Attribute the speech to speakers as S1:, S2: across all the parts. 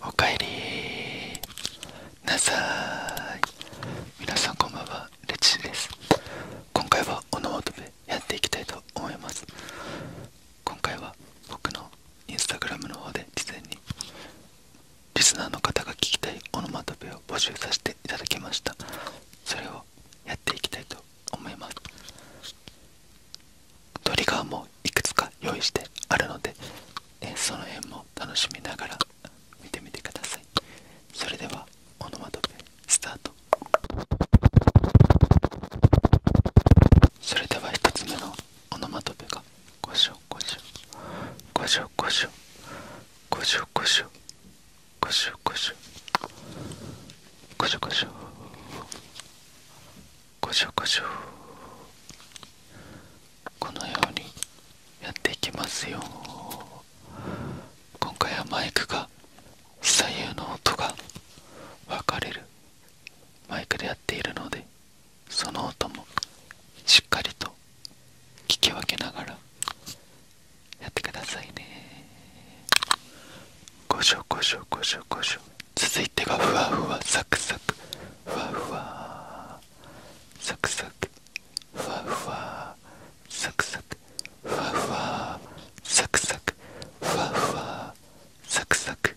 S1: おかえりなさい皆さんこんばんはレチです今回はオノマトペやっていきたいと思います今回は僕のインスタグラムの方で事前にリスナーの方が聞きたいオノマトペを募集させていただきましたそれをやっていきたいと思いますトリガーもいくつか用意してあるのでえその辺も楽しみながら見てみてくださいそれでは
S2: オノマトペスタートそれでは1つ目のオノマトペがごしょごしょごしょごしょごしょごしょこのようにやっていきますよ
S1: 今回はマイクが左右の音が分かれるマイクでやっているのでその音も
S2: しっかりと聞き分けながらやってくださいねごしょごしょごしょごしょ続いてがふわふわサクサクふわふわサクサクふわふわサクサクふわふわサクサク
S1: ふわふわサクサク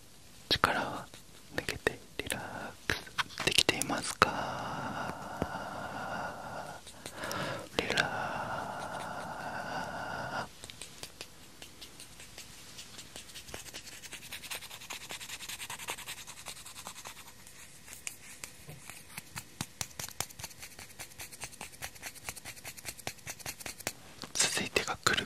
S1: 力は抜けてリラックスできていますかリラッ続いてがくる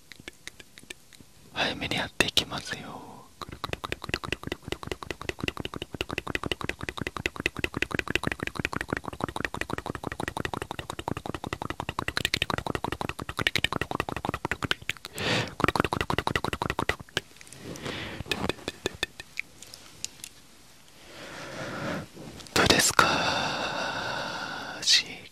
S2: 早めにやっていきますよどうですか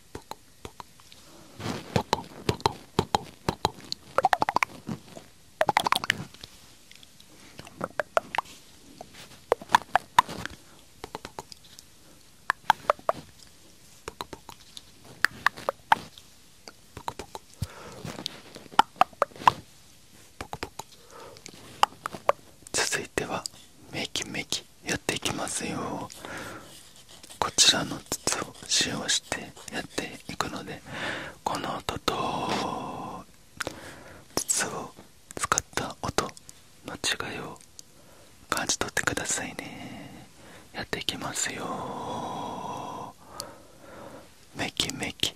S1: ポコポコポコポコポコポコ続いてはメキメキやっていきますよこちらの筒を使用してやっていくのでこの音と筒を使った音の違いを感じ取ってくださいねやっていきますよメキメキ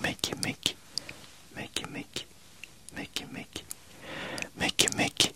S1: メキメキメキメキメキメキメキ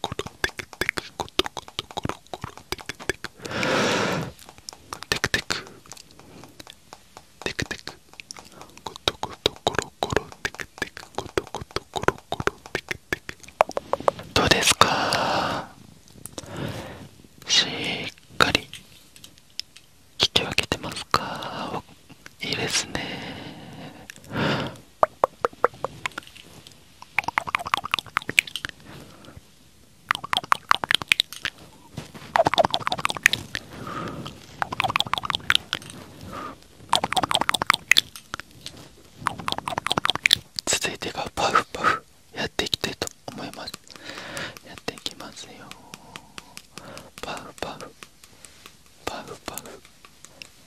S1: コロテクテクコトコトコロコロテクテクテクテクテクテクコトコトコロコロテクテクコトコトコロコロテクテクどうですかしっかり聞き分けてますかいいですね続いてがパフパフやっていきたいと思いますやっていきますよパフパフパフパフ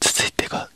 S1: 続いてが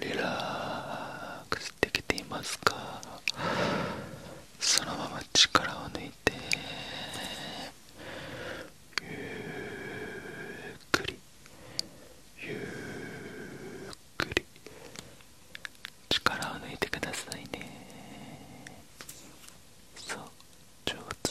S1: リラックスできていますかそのまま力を抜いてゆっくりゆっくり力を抜いてくださいねそう上手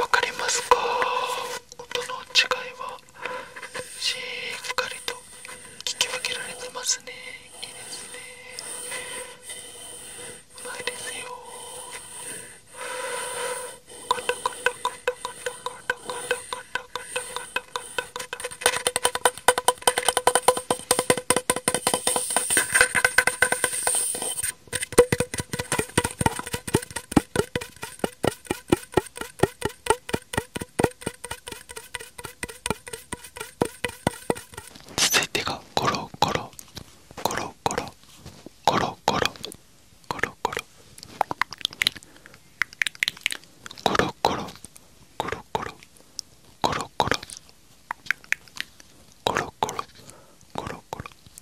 S1: わかりますか音の違いはしっかりと聞き分けられてますねいいですねうまいですよカタカタカタカタカタカタカタカタカタカタカタ続いてがゴロコロコロコロコロコロコロコロコロコロコロコロコロコロコロコロコロコロゴロゴロゴロゴロゴロゴロゴロゴロゴロゴロゴロゴロゴロゴロ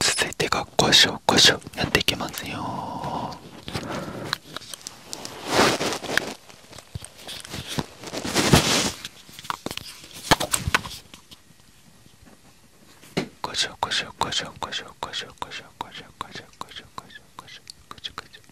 S1: 続いてがこしょこしょやっていきますよ
S2: こしょこしょこしょこしょこしょこしょこしょこしょこしょこしょこしょこしょこしょこしょ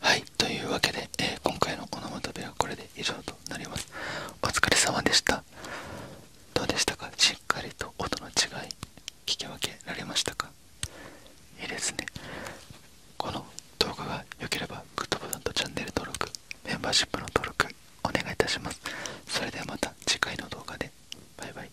S1: はいというわけで、え今回のこのマトペはこれで以上となりますお疲れ様でしたどうでしたかしっかりと音の違い聞き分けられましたかいいですねこの動画が良ければグッドボタンとチャンネル登録メン
S2: バーシップの登録お願いいたしますそれではまた次回の動画でバイバイ